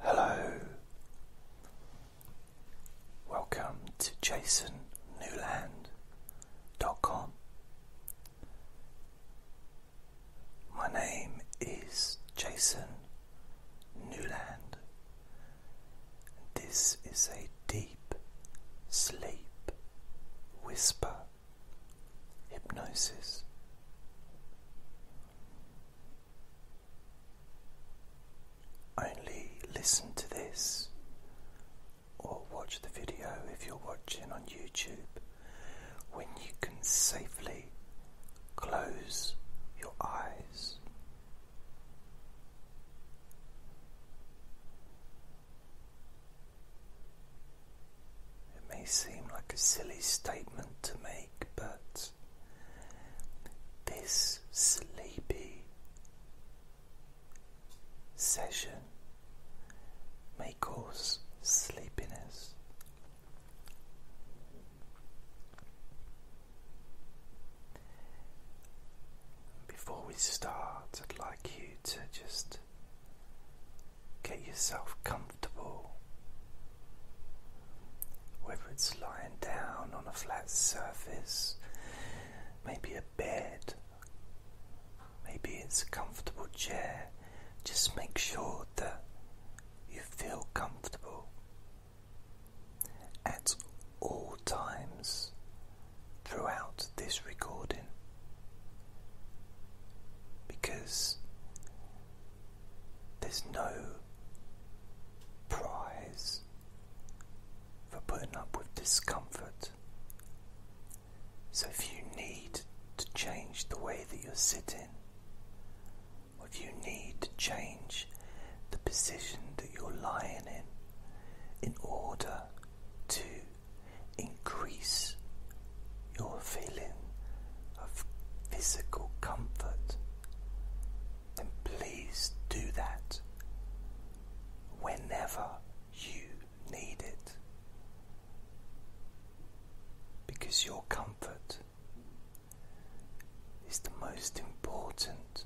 Hello, welcome to jasonnewland.com. My name is Jason Newland. This is a deep sleep, whisper, hypnosis. Only listen to this or watch the video if you're watching on YouTube when you can safely close your eyes. It may seem like a silly statement to make, but this sleepy session may cause sleepiness. Before we start, I'd like you to just Get yourself comfortable. Whether it's lying down on a flat surface, maybe a bed, maybe it's a comfortable chair, just make sure that you feel comfortable at all times throughout this recording because there's no prize for putting up with discomfort. So if you need to change the way that you're sitting, or if you need to change the position that you're lying in in order to increase your feeling of physical comfort, and please do that whenever you need it. Because your comfort is the most important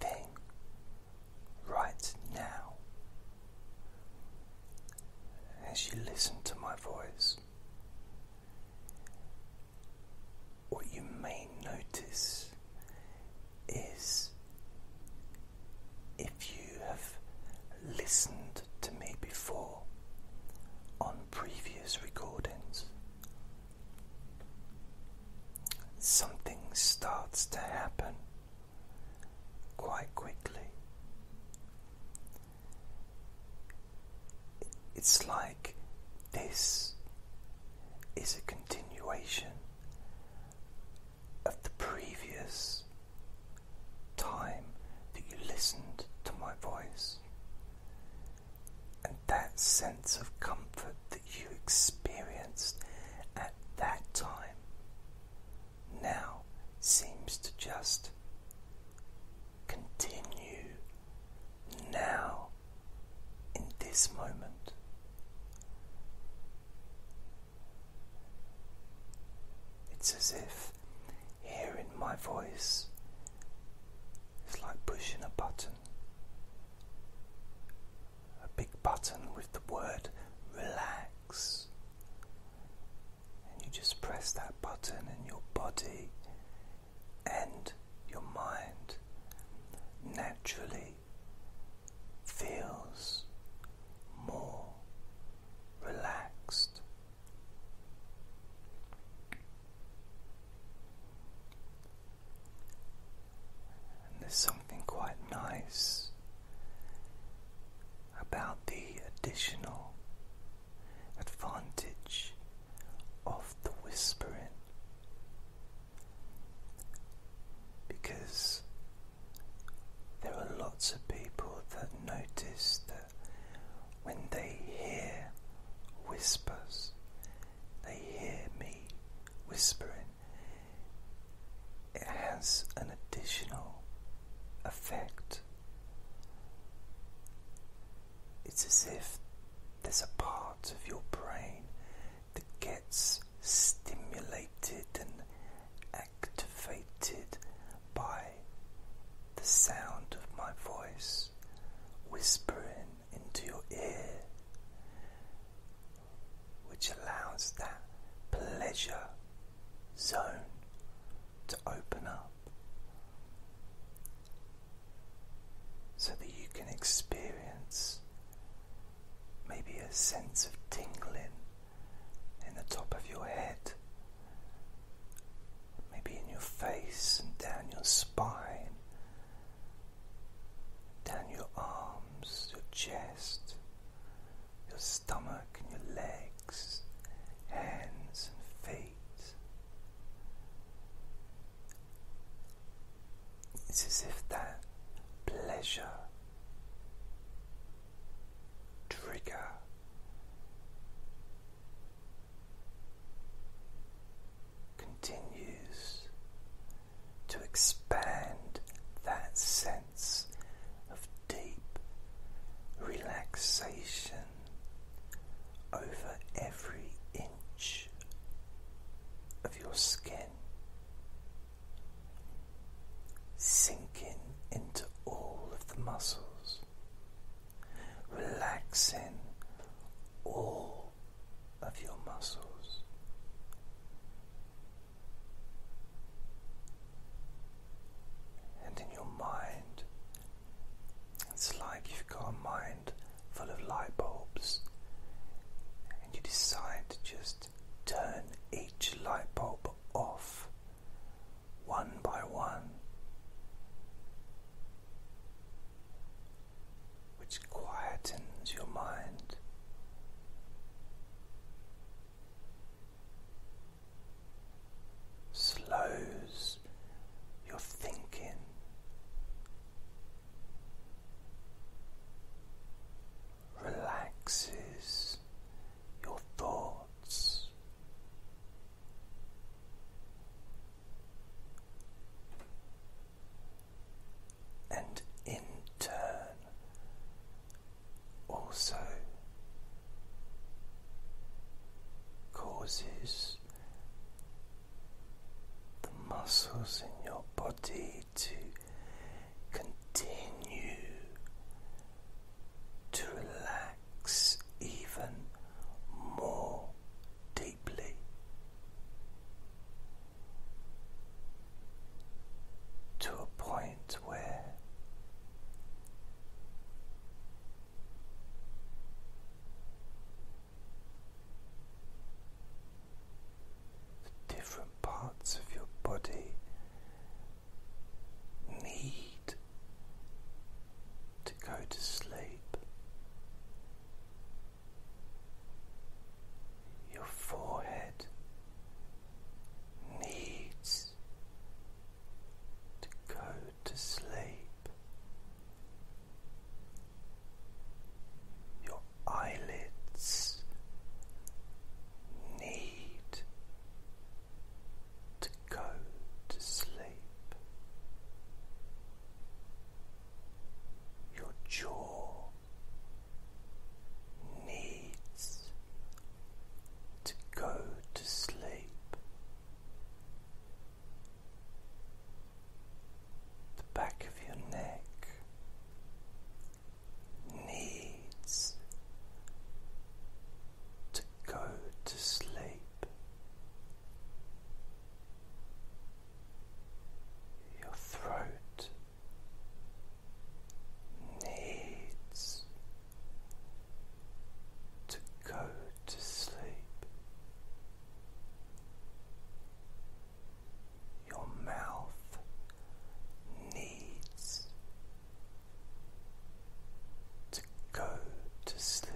thing right now as you listen to my voice. What you may notice is if you have listened to me before on previous recordings, something starts to happen quite quickly. It's like this is a continuation of the previous time that you listened to my voice. And that sense of comfort that you experienced at that time now seems to just continue now in this moment. It's as if hearing my voice is like pushing a button, a big button with the word relax and you just press that button, and your body and your mind naturally feels more relaxed. And there's something quite nice about the additional advantage of the whispering because there are lots of people that notice that when they hear whispers, they hear me whispering, it has an additional effect. It's as if there's a part of your brain that gets stimulated and activated by the sound of my voice whispering into your ear, which allows that pleasure zone to open up so that you can experience maybe a sense of tingling in the top of your head, maybe in your face and down your spine, down your arms, your chest your stomach and your legs, hands and feet. It's as if that pleasure trigger continues to expand that sense of deep relaxation over every inch of your skin, sinking into all of the muscles, relaxing all of your muscles and in your mind. It's like you've got a mind full of light bulbs, and you decide to just turn each light bulb off one by one, which quietens your mind slows your thinking. Relaxes your thoughts, and in turn also causes the muscles in your body to continue to relax even more deeply. To a point where different parts of your body need to go to sleep. Your forehead needs to go to sleep. Your eyelids need to go to sleep. Your jaw needs to go to sleep. The back of your neck needs to go to sleep. Your throat needs to go to sleep. Your mouth needs to go to sleep.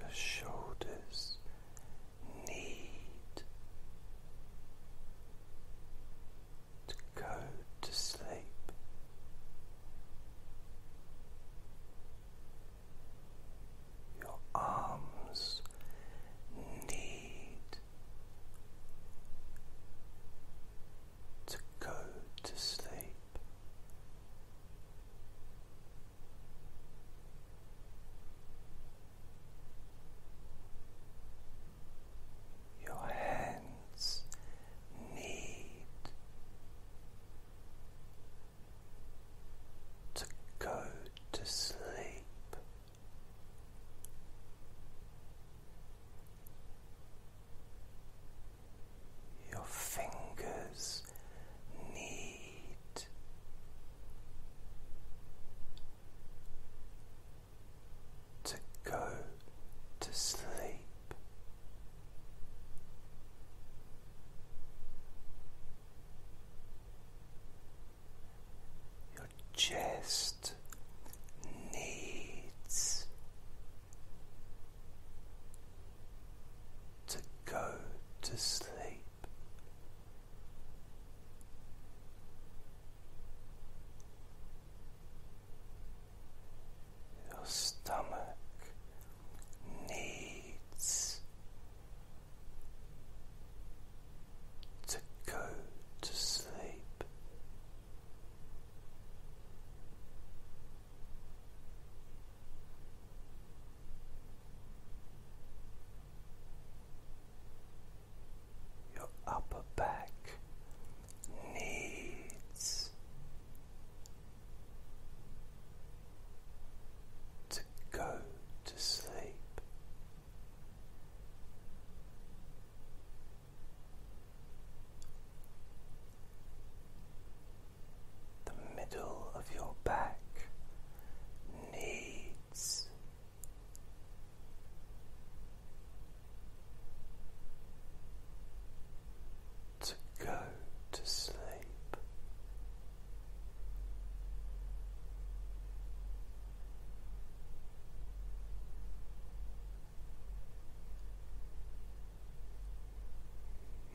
Your shoulders need to go to sleep. Your arms need to go to sleep. Your hands need to go to sleep. Your fingers need to go to sleep. Your chest needs to go to sleep your stomach needs to go to sleep your upper back needs to go to sleep. The middle of your back needs to go to sleep.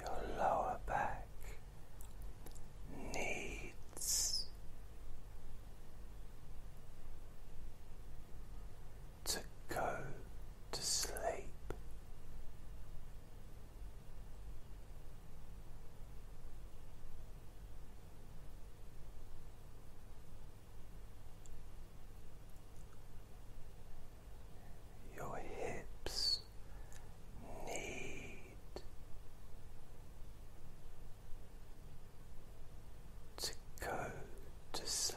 Your lower back needs to go to sleep. Your hips need to go to sleep.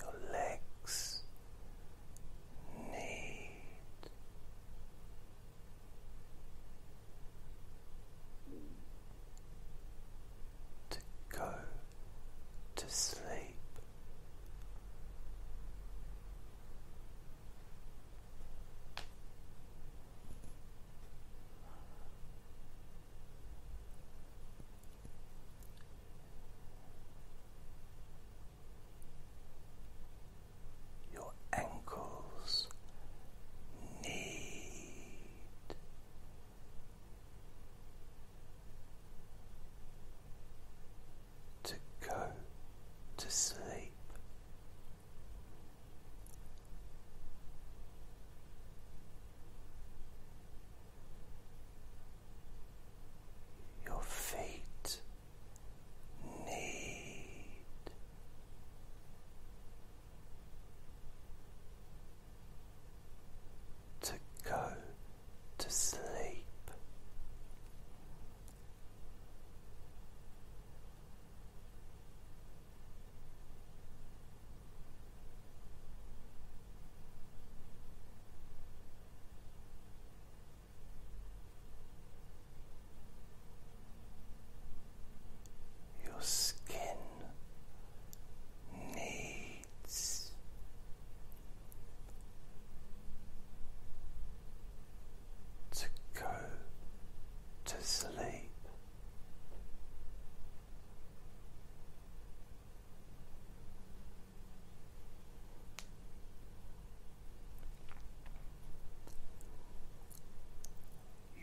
Your legs need. To go to sleep. Your ankles need to go to sleep your feet need. To go to sleep, your skin needs to go to sleep.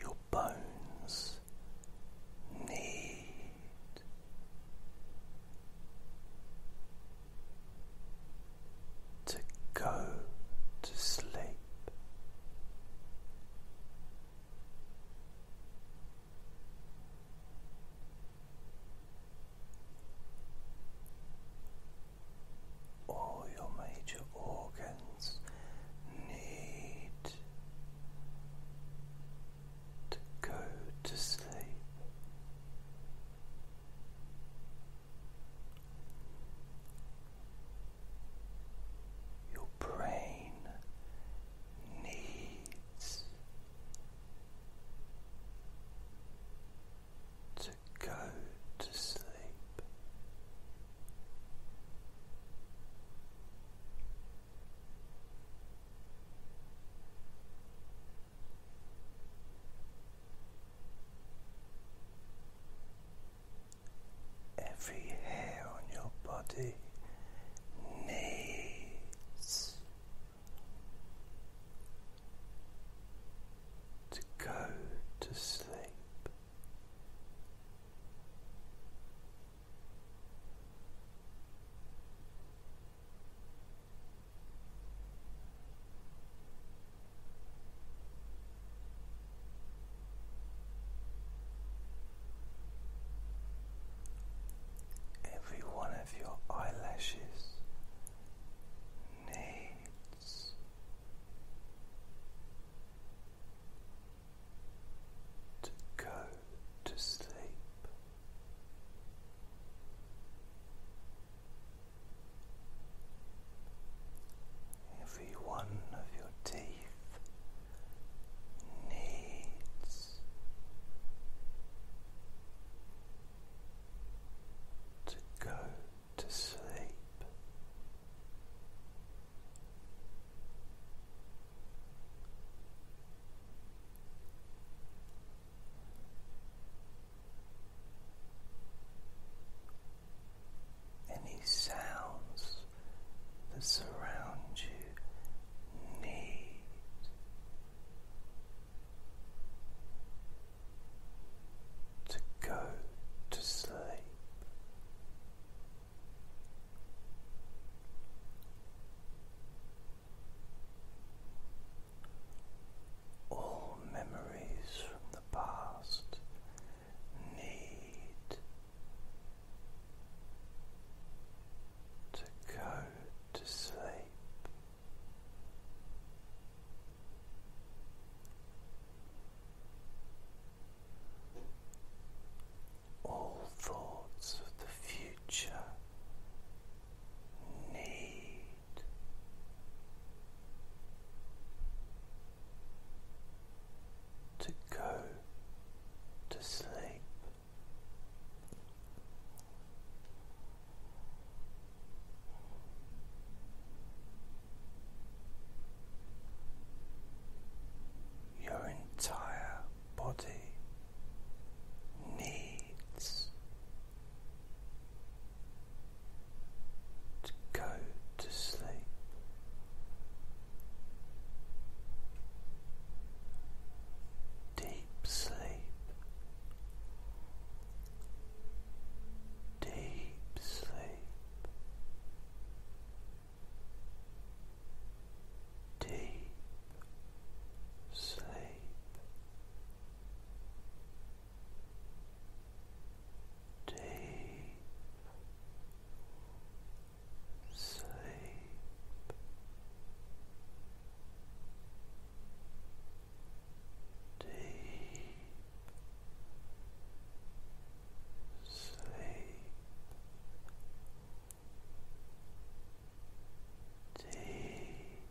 Your bones need to go to sleep. All your major organs need go to sleep. Your brain needs to go to sleep. Every hair on your body needs to go to sleep. Every one of your eyelashes needs. To go to sleep, every one of your teeth needs to go to sleep. Any sounds that surround you need to go to sleep. All memories from the past need to go to sleep. All thoughts of the future need to go to sleep. Your entire body needs to go to sleep. Deep sleep deep sleep, deep sleep. Deep sleep, deep sleep, deep sleep, deep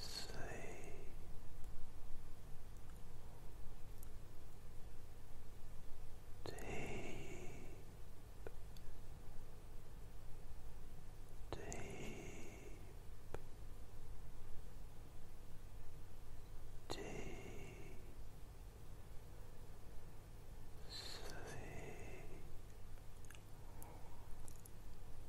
sleep. Deep, deep deep sleep